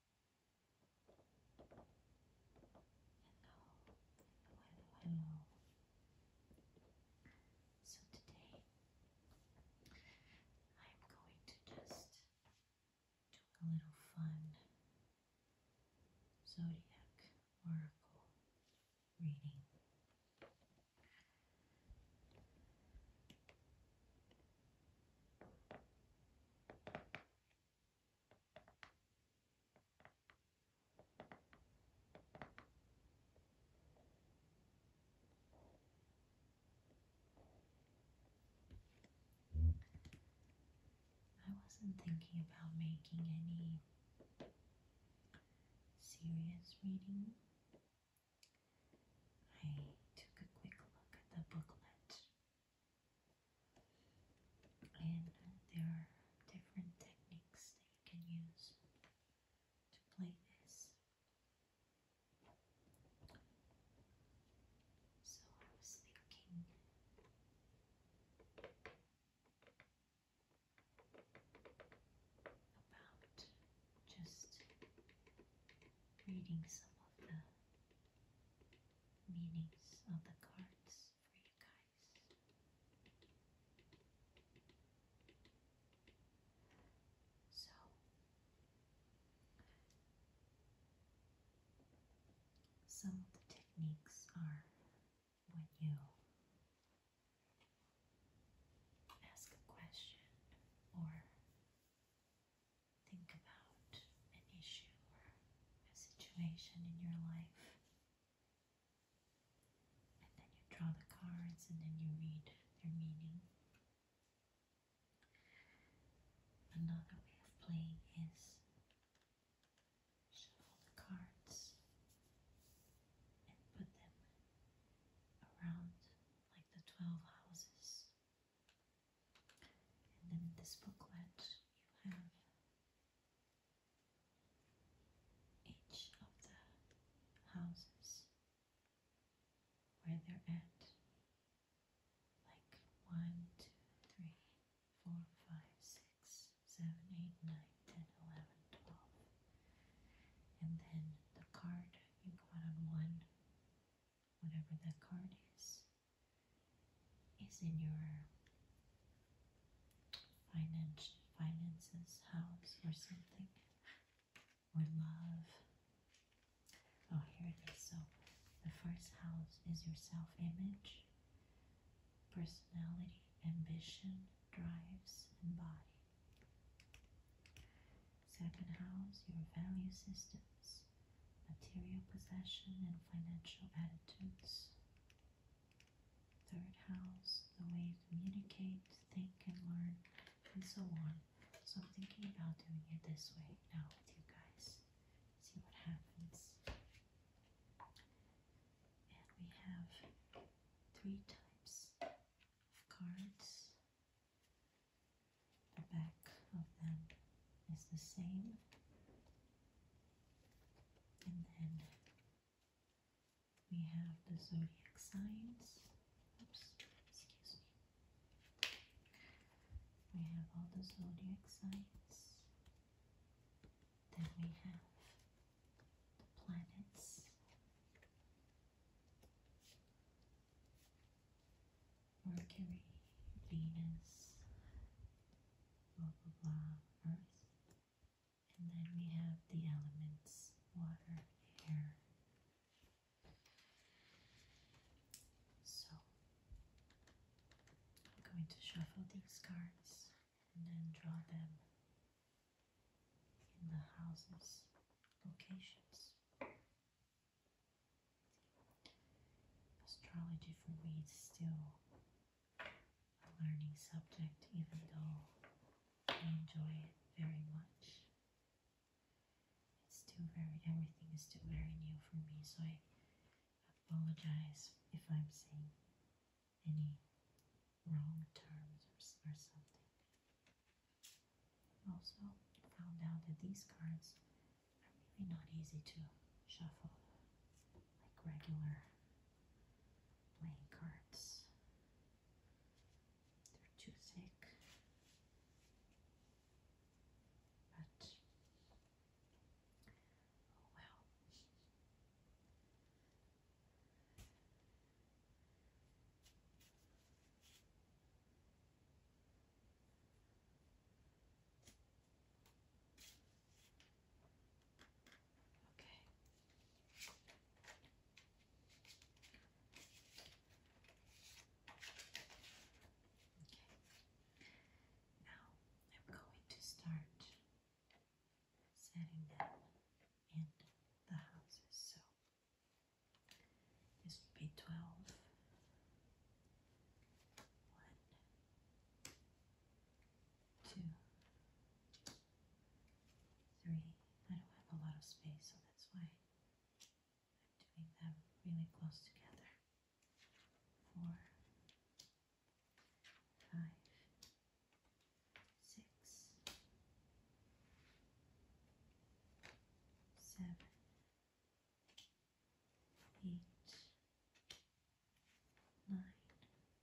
Hello, hello, hello. So today I'm going to just do a little fun zodiac oracle reading. I wasn't thinking about making any serious reading. I took a quick look at the booklet and there are different techniques that you can use to play this. So I was thinking about just reading some of the meanings of the cards for you guys. So, some of the techniques are when you ask a question or think about an issue a situation in your life. And then you draw the cards and then you read their meaning. Another way of playing is shuffle the cards and put them around like the 12 houses and then with this booklet, you have each of the houses where they're at. Like 1, 2, 3, 4, 5, 6, 7, 8, 9, 10, 11, 12. And then the card you got on one, whatever that card is, is in your finance, finances, house, or something, or love. Oh, here it is. So, the first house is your self image, personality, ambition, drives, and body. Second house, your value systems, material possession, and financial attitudes third house, the way you communicate, think, and learn, and so on. So I'm thinking about doing it this way now with you guys. See what happens. And we have three types of cards. The back of them is the same. And then we have the zodiac signs. Oops, excuse me. We have all the zodiac signs. Then we have the planets. Mercury, Venus, blah blah blah earth. And then we have the elements water, air. So I'm going to shuffle these cards and then draw them in the houses locations. Astrology for me is still a learning subject, even though I enjoy it very much. It's still very, everything is still very new for me, so I apologize if I'm saying any wrong terms or, or something. Also, found out that these cards are really not easy to shuffle like regular playing cards. They're too thick, but oh well. Okay. Okay. Now I'm going to start setting them in the houses. So this would be twelve. One, two, three. I don't have a lot of space, so that's why I'm doing them really close together. Four, five, six, seven, eight, nine, ten, eleven,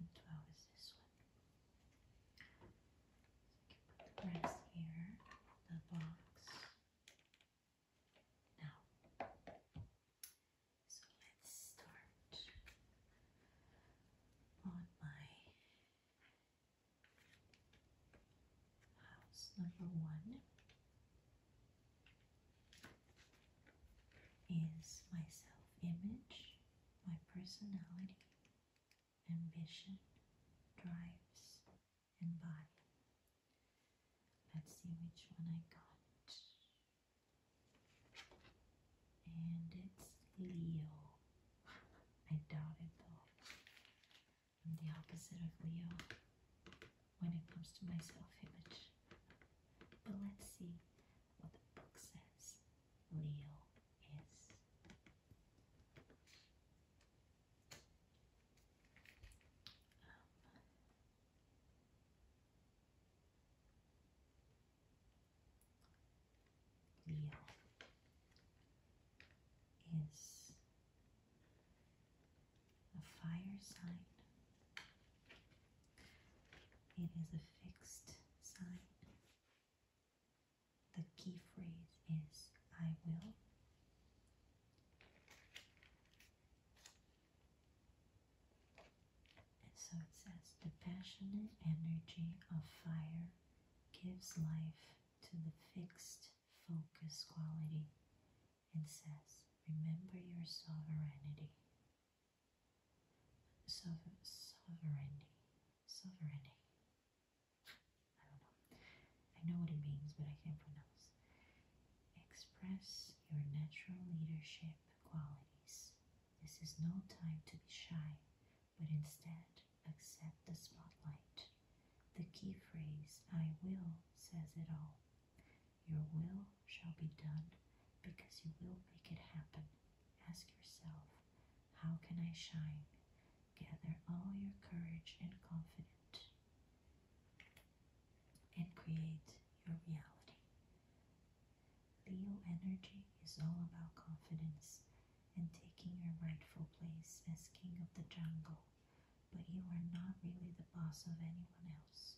and twelve is this one. So I put the rest here, the box. Now, so let's start on my house number one is my self image, my personality, ambition, drives, and body. Let's see which one I got. And it's Leo. I doubt it though. I'm the opposite of Leo when it comes to my self-image. But let's see what the book says Leo is. Um, Leo is a fire sign. It is a fixed sign. The key phrase is I will. And so it says the passionate energy of fire gives life to the fixed focus quality and says, Remember your sovereignty. sovereignty. Sovereignty. I don't know. I know what it means, but I can't pronounce. Express your natural leadership qualities. This is no time to be shy, but instead accept the spotlight. The key phrase, I will, says it all. Your will shall be done because you will make it happen. Ask yourself, how can I shine? Gather all your courage and confidence and create your reality. Leo energy is all about confidence and taking your rightful place as king of the jungle but you are not really the boss of anyone else,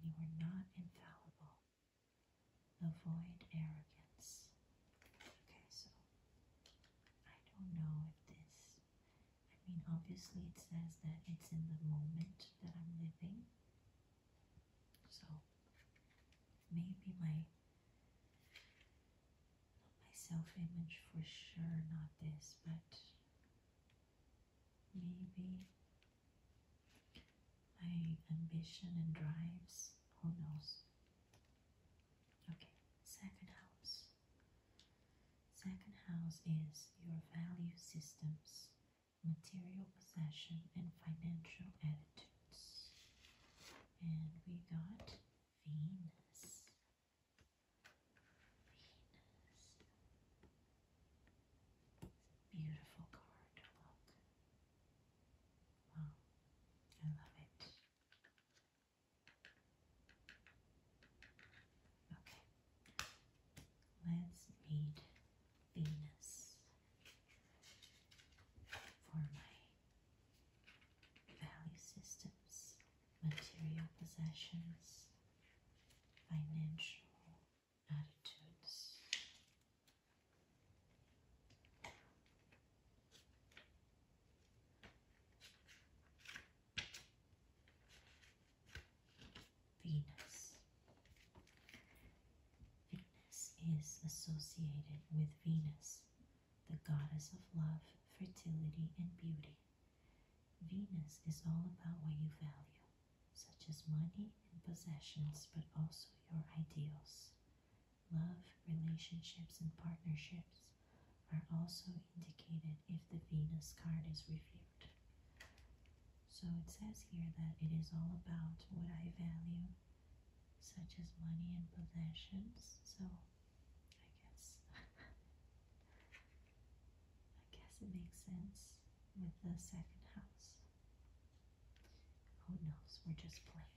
and you are not infallible. Avoid arrogance. Okay, so I don't know if this. I mean, obviously, it says that it's in the moment that I'm living. So maybe my my self-image for sure, not this, but maybe my ambition and drives, who knows? Okay, second house. Second house is your value systems, material possession, and financial attitudes. And we got Venus. Venus. Beautiful card, Wow, I love it. Okay, let's read Venus for my value systems material possessions, financial attitudes. Venus. Venus is associated with Venus, the goddess of love, fertility, and beauty. Venus is all about what you value, such as money and possessions, but also your ideals. Love, relationships, and partnerships are also indicated if the Venus card is reviewed. So it says here that it is all about what I value, such as money and possessions. So I guess I guess it makes sense with the second house. Who knows? We're just playing.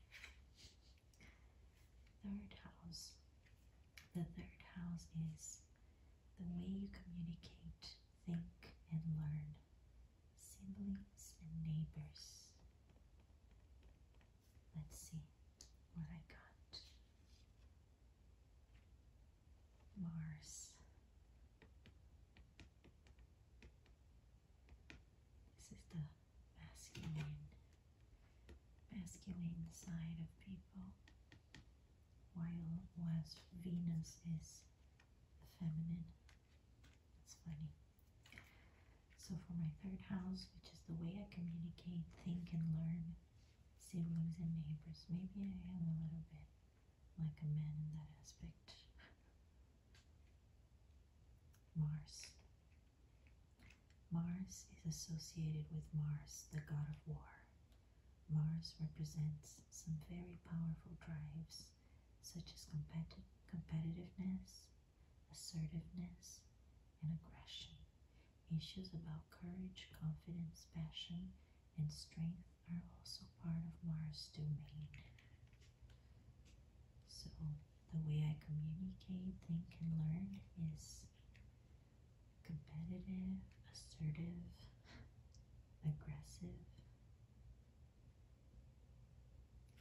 Third house. The third house is the way you communicate, think, and learn. Siblings and neighbors. Let's see what I got. Mars. This is the masculine, masculine side of people, while whereas Venus is the feminine. That's funny. So for my third house, which is the way I communicate, think, and learn, siblings and neighbors. Maybe I am a little bit like a man in that aspect. Mars. Mars is associated with Mars, the god of war. Mars represents some very powerful drives, such as competitive competitiveness, assertiveness, and aggression. Issues about courage, confidence, passion, and strength are also part of Mars domain. So, the way I communicate, think, and learn is competitive, assertive, aggressive.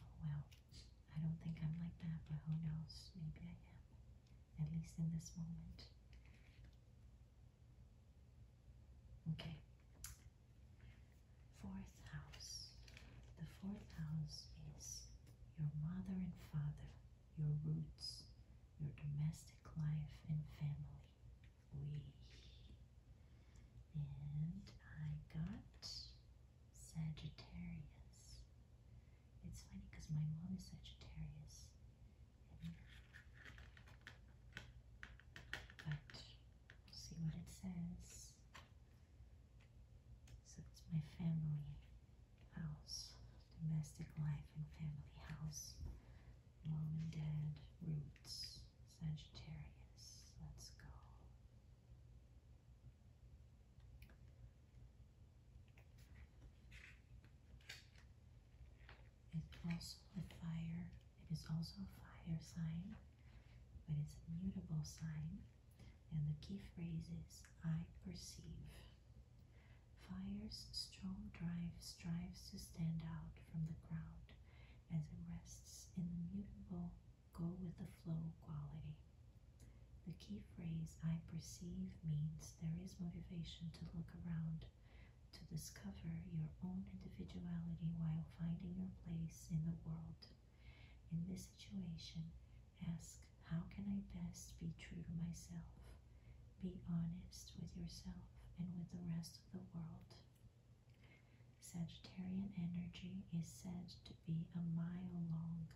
Oh, well, I don't think I'm like that, but who knows? Maybe I am, at least in this moment. Okay. Fourth house. The fourth house is your mother and father, your roots, your domestic life and family. We. And I got Sagittarius. It's funny because my mom is Sagittarius. But we see what it says. So it's my family house, domestic life and family house. Mom and dad, roots, Sagittarius. Let's go. It's also a fire. It is also a fire sign, but it's a mutable sign. And the key phrase is I perceive. Fire's strong drive strives to stand out from the crowd as it rests in the mutable go with the flow quality. The key phrase I perceive means there is motivation to look around to discover your own individuality while finding your place in the world. In this situation, ask, How can I best be true to myself? Be honest with yourself and with the rest of the world. Sagittarian energy is said to be a mile long,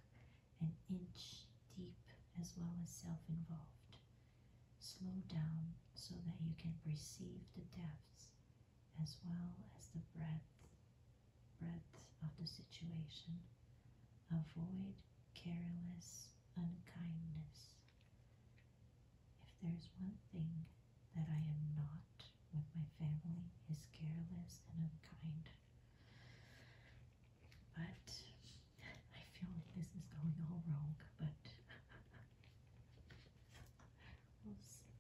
an inch deep, as well as self involved. Slow down so that you can perceive the depths as well as the breadth, breadth of the situation. Avoid careless unkindness. If there's one thing that I am not with my family is careless and unkind. But I feel like this is going all wrong, but we'll see.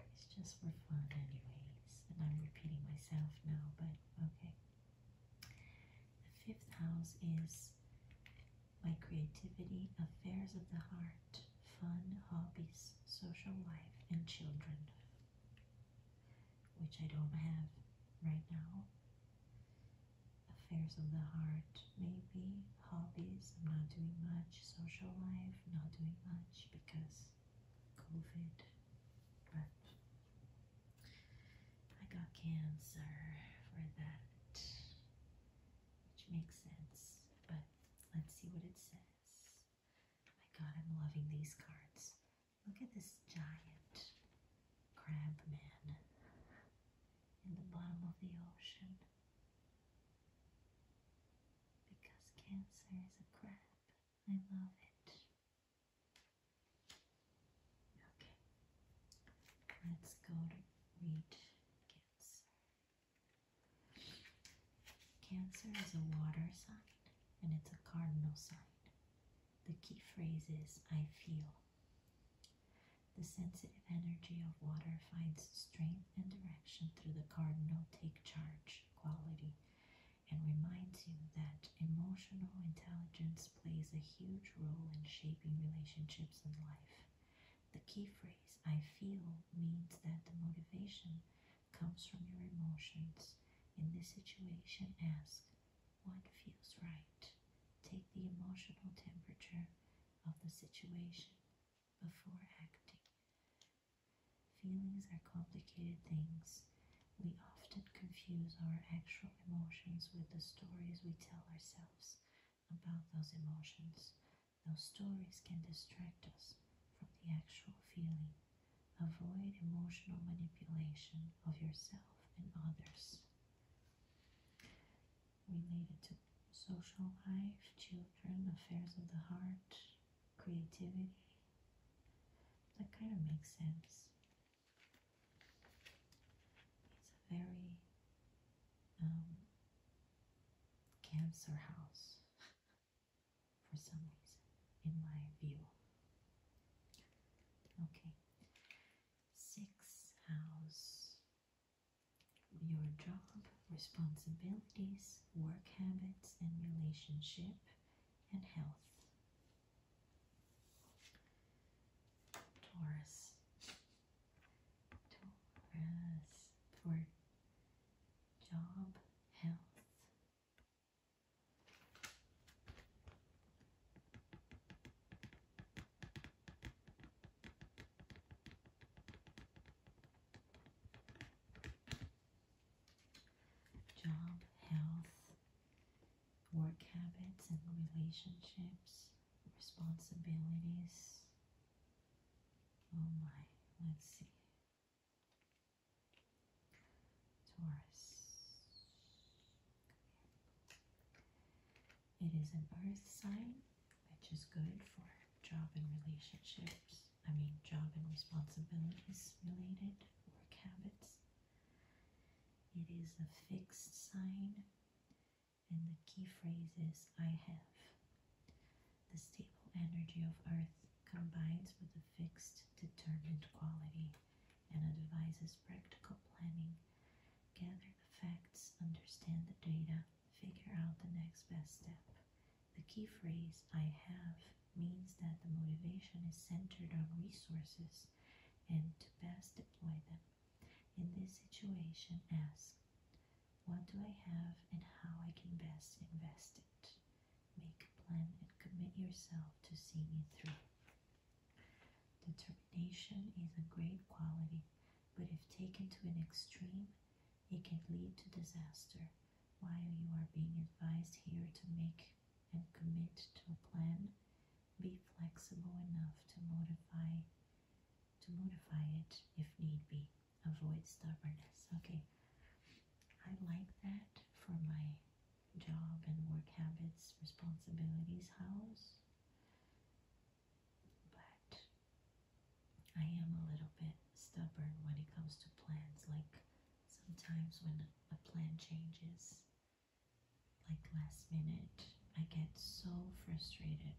It's just for fun, anyways. And I'm repeating myself now, but okay. The fifth house is my creativity, affairs of the heart, fun, hobbies, social life, and children, which I don't have right now affairs of the heart, maybe hobbies. I'm not doing much social life, not doing much because COVID. But I got cancer for that, which makes sense. But let's see what it says. my God, I'm loving these cards. Look at this giant crab in the bottom of the ocean because cancer is a crab. I love it. Okay, let's go to read Cancer is a water sign and it's a cardinal sign. The key phrase is I feel. The sensitive energy of water finds strength and direction through the cardinal take charge quality and reminds you that emotional intelligence plays a huge role in shaping relationships in life. The key phrase, I feel, means that the motivation comes from your emotions. In this situation, ask, what feels right. Take the emotional temperature of the situation before acting. Feelings are complicated things. We often confuse our actual emotions with the stories we tell ourselves about those emotions. Those stories can distract us from the actual feeling. Avoid emotional manipulation of yourself and others related to social life, children, affairs of the heart, creativity. That kind of makes sense. It's a very um, cancer house for some reason, in my view. Okay, six house your job, responsibilities, work habits and relationship, and health. Taurus. Taurus for job, health. Job, health, work habits and relationships, responsibilities. Oh my, let's see. Taurus. It is an earth sign, which is good for job and relationships. I mean, job and responsibilities related, work habits. It is a fixed sign, and the key phrase is I have. The stable energy of earth combines with a fixed, determined quality and advises practical planning gather the facts, understand the data, figure out the next best step. The key phrase, I have, means that the motivation is centered on resources and to best deploy them. In this situation, ask, what do I have and how I can best invest it? Make a plan and commit yourself to seeing it through. Determination is a great quality but if taken to an extreme, it can lead to disaster. While you are being advised here to make and commit to a plan, be flexible enough to modify to modify it if need be. Avoid stubbornness. Okay. I like that for my job and work habits, responsibilities, house but I am a little bit stubborn when it comes to plans. Like sometimes when a plan changes, like last minute, I get so frustrated.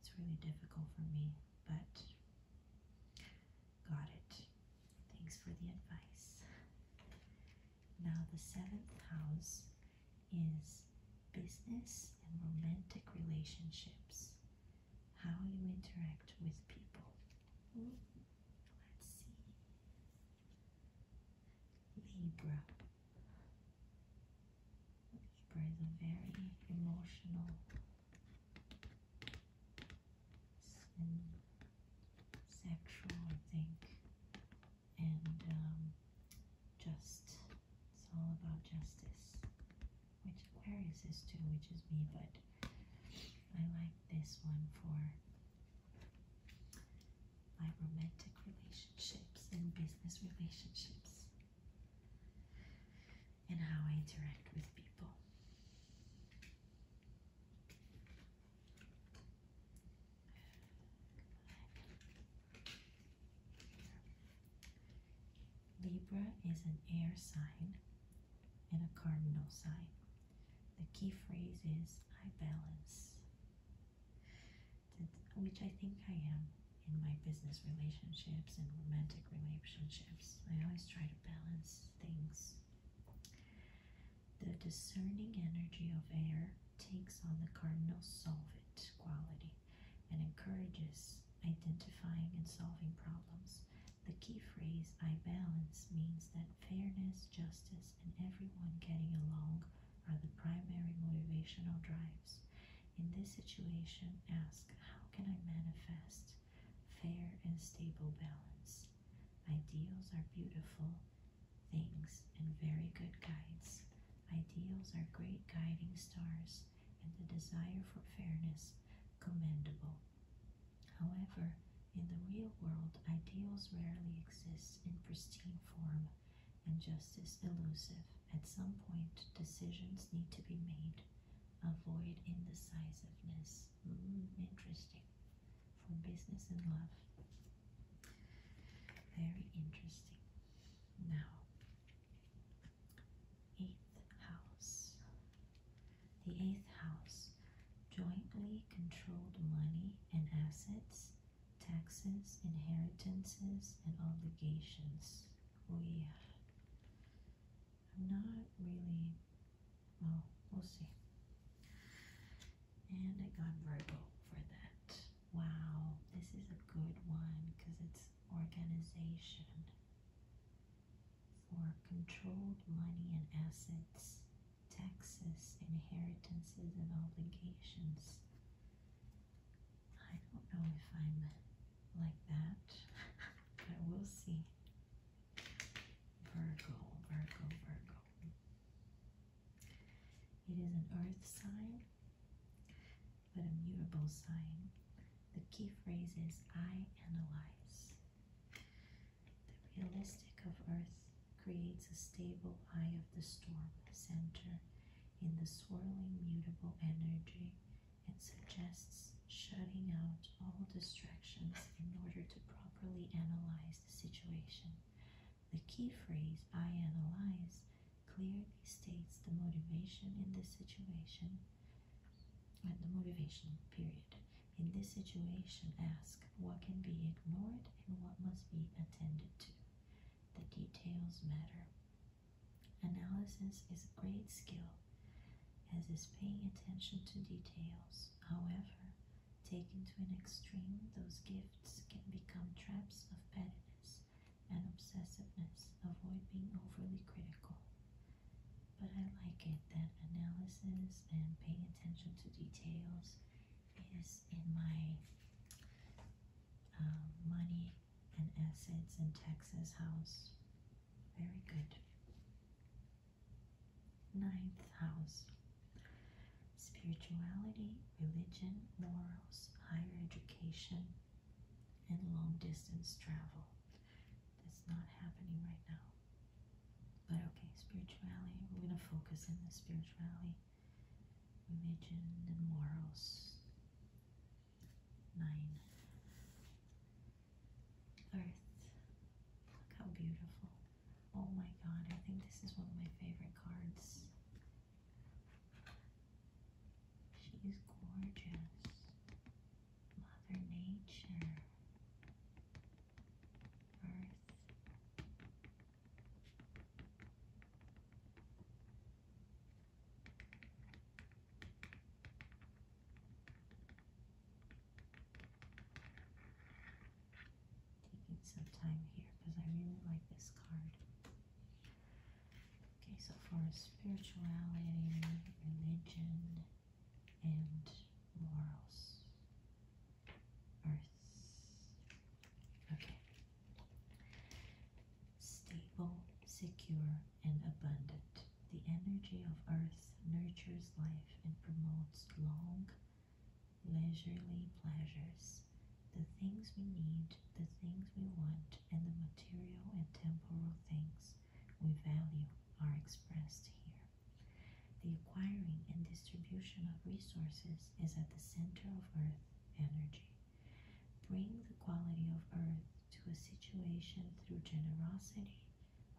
It's really difficult for me, but got it. Thanks for the advice. Now, the seventh house is business and romantic relationships, how you interact with people. let's see. Libra. Libra is a very emotional and sexual, I think and um, just, it's all about justice, which Aquarius is too, which is me, but I like this one for my romantic relationships and business relationships and how I interact with people. Libra is an air sign and a cardinal sign. The key phrase is I balance, which I think I am in my business relationships and romantic relationships. I always try to balance things. The discerning energy of air takes on the cardinal solvent quality and encourages identifying and solving problems. The key phrase, I balance, means that fairness, justice, and everyone getting along are the primary motivational drives. In this situation, ask, how can I manifest fair and stable balance? Ideals are beautiful things and very good guides. Ideals are great guiding stars, and the desire for fairness commendable. However, in the real world, ideals rarely exist in pristine form and justice elusive. At some point, decisions need to be made. Avoid indecisiveness. Hmm, interesting. From business and love. Very interesting. Now, eighth house. The eighth house jointly controlled money and assets, taxes, inheritances, and obligations. We. Oh, yeah. I'm not really, well, we'll see. And I got Virgo for that. Wow, this is a good one because it's organization for controlled money and assets, taxes, inheritances, and obligations. I don't know if I'm like that, but we'll see. Virgo, Virgo, Virgo. It is an earth sign but a sign. The key phrase is I analyze. The realistic of Earth creates a stable eye of the storm center in the swirling mutable energy and suggests shutting out all distractions in order to properly analyze the situation. The key phrase I analyze clearly states the motivation in this situation and uh, the motivation period in this situation ask what can be ignored and what must be attended to the details matter analysis is a great skill as is paying attention to details however taken to an extreme those gifts can become traps of pettiness and obsessiveness, avoid being overly critical. But I like it that analysis and paying attention to details is in my um, money and assets in Texas house. Very good. Ninth house spirituality, religion, morals, higher education, and long distance travel. That's not happening right now. But okay, spirituality, we're going to focus in the spirituality, religion, and morals. Nine. Earth. Look how beautiful. Oh my god, I think this is one of my favorite cards. She's gorgeous. Mother Nature. Earth. Taking some time here because I really like this card. Okay, so far as spirituality, religion, and morals, earth. Okay. Stable, secure, and abundant. The energy of earth nurtures life and promotes long, leisurely pleasures. The things we need, the things we want, and the material and temporal things we value are expressed here. The acquiring and distribution of resources is at the center of Earth energy. Bring the quality of Earth to a situation through generosity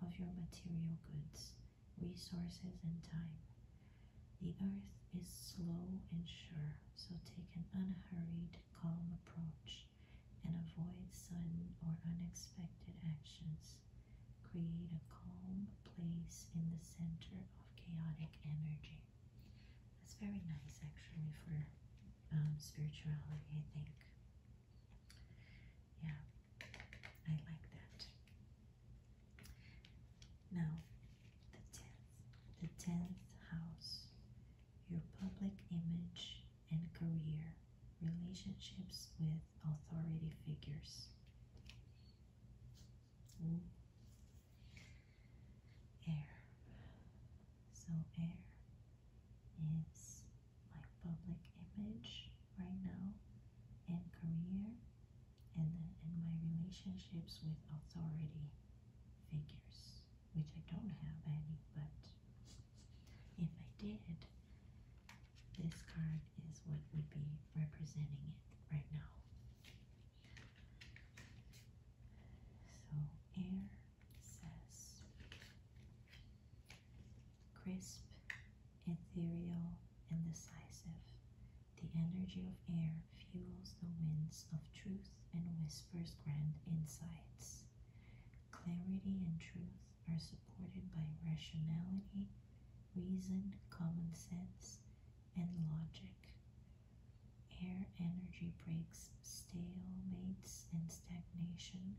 of your material goods, resources, and time. The Earth is slow and sure, so take an unhurried, calm approach and avoid sudden or unexpected actions. Create a calm place in the center of chaotic energy. That's very nice, actually, for um, spirituality, I think. Yeah, I like that. Now, the 10th, the 10th house your public image and career, relationships with authority figures. Air. So, air is my public image right now, and career, and then my relationships with authority figures which I don't have any, but if I did, this card is what would be representing it right now. So, air says crisp, ethereal, and decisive. The energy of air fuels the winds of truth and whispers grand insights. Clarity and truth are supported by rationality, reason, common sense, and logic. Air energy breaks stalemates and stagnation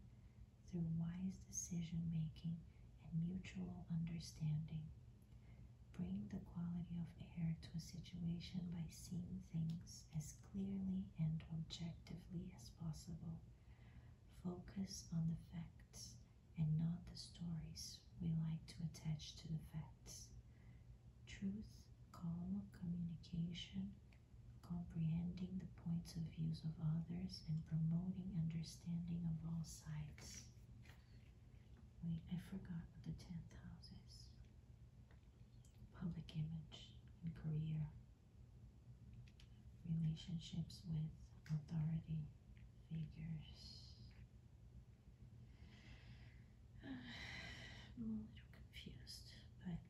through wise decision making and mutual understanding. Bring the quality of air to a situation by seeing things as clearly and objectively as possible. Focus on the facts and not the stories we like to attach to the facts. Truth, calm communication, comprehending the points of views of others, and promoting understanding of all sides. Wait, I forgot what the tenth house is public image and career, relationships with authority figures. a little confused, but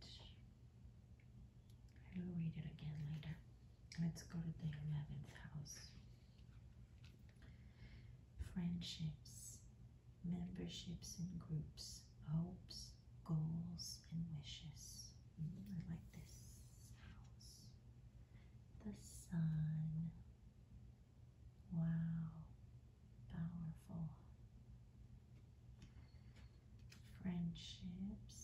I will read it again later. Let's go to the 11th house. Friendships, memberships in groups, hopes, goals, and wishes. Mm, I like this house. The sun. Wow, powerful. Friendships.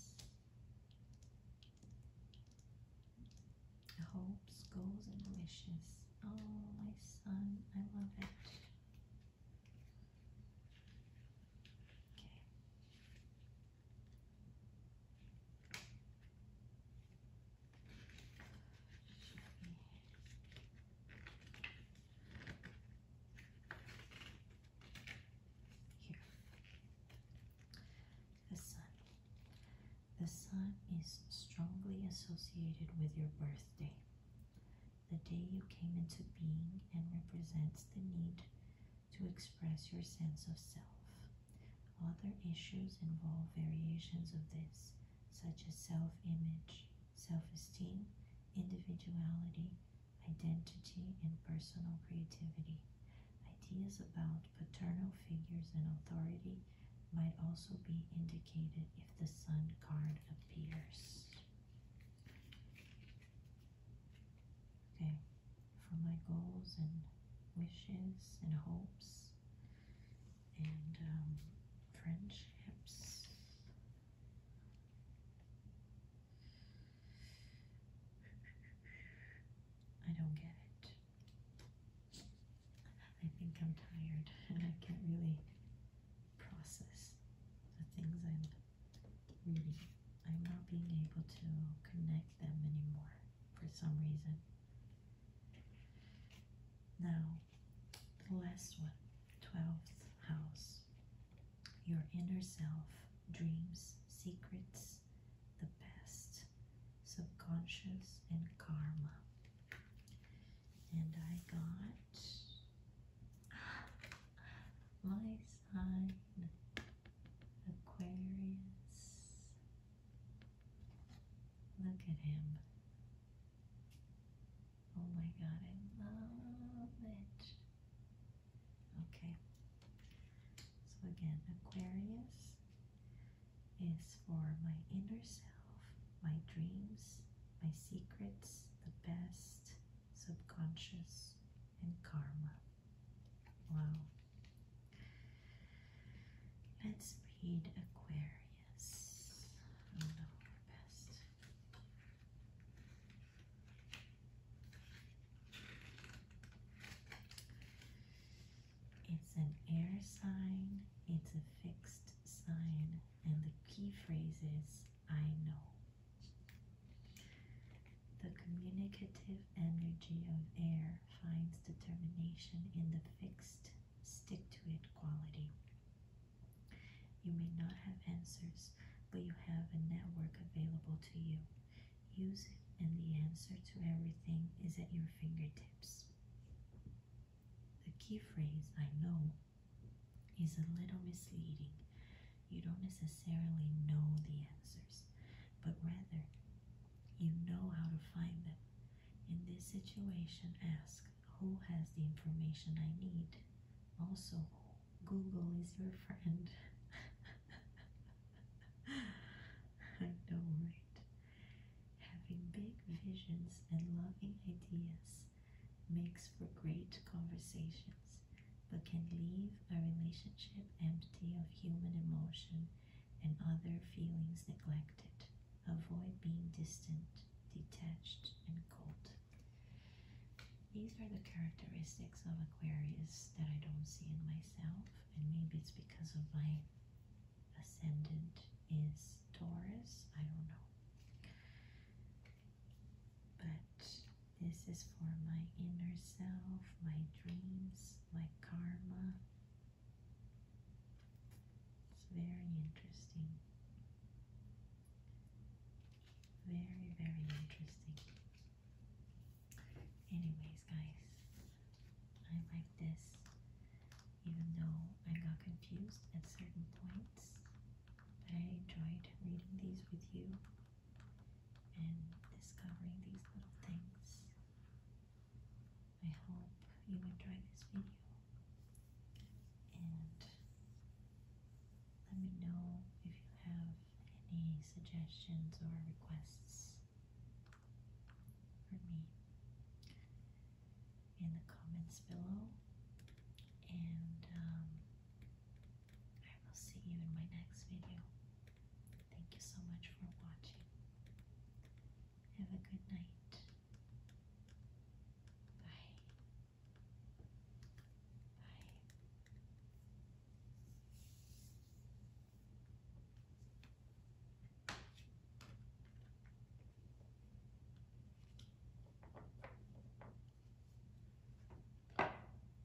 Hopes, goals, and wishes. Oh, my son, I love it. Okay. Here. The sun. The sun is strongly associated with your birthday the day you came into being and represents the need to express your sense of self. Other issues involve variations of this, such as self image, self esteem, individuality, identity, and personal creativity. Ideas about paternal figures and authority might also be indicated if the Sun card appears. Okay, for my goals and wishes and hopes and um, friendships. I don't get it. I think I'm tired and I can't really process the things I'm I'm not being able to connect them anymore for some reason. Now, the last one, 12th house. Your inner self dreams, secrets, the past, subconscious, and karma. And I got my sign Aquarius. Look at him. Oh my god, I love it. Okay. So again, Aquarius is for my inner self, my dreams, my secrets, the best, subconscious, and karma. Wow. Let's read Aquarius. It's an air sign, it's a fixed sign, and the key phrase is I know. The communicative energy of air finds determination in the fixed, stick to it quality. You may not have answers, but you have a network available to you. Use it, and the answer to everything is at your fingertips. The key phrase, I know, is a little misleading you don't necessarily know the answers, but rather you know how to find them. In this situation, ask who has the information I need. Also, Google is your friend. I know, right? Having big visions and loving ideas makes for great conversation but can leave a relationship empty of human emotion and other feelings neglected. Avoid being distant, detached, and cold. These are the characteristics of Aquarius that I don't see in myself, and maybe it's because of my ascendant is Taurus. I don't know. But this is for my inner self, my dreams, my karma. It's very interesting. Very, very interesting. Anyways, guys, I like this, even though I got confused at certain points. But I enjoyed reading these with you and discovering these little things. I hope you enjoy this video and let me know if you have any suggestions or requests for me in the comments below. And um, I will see you in my next video. Thank you so much for watching. Have a good night. Bye. Bye.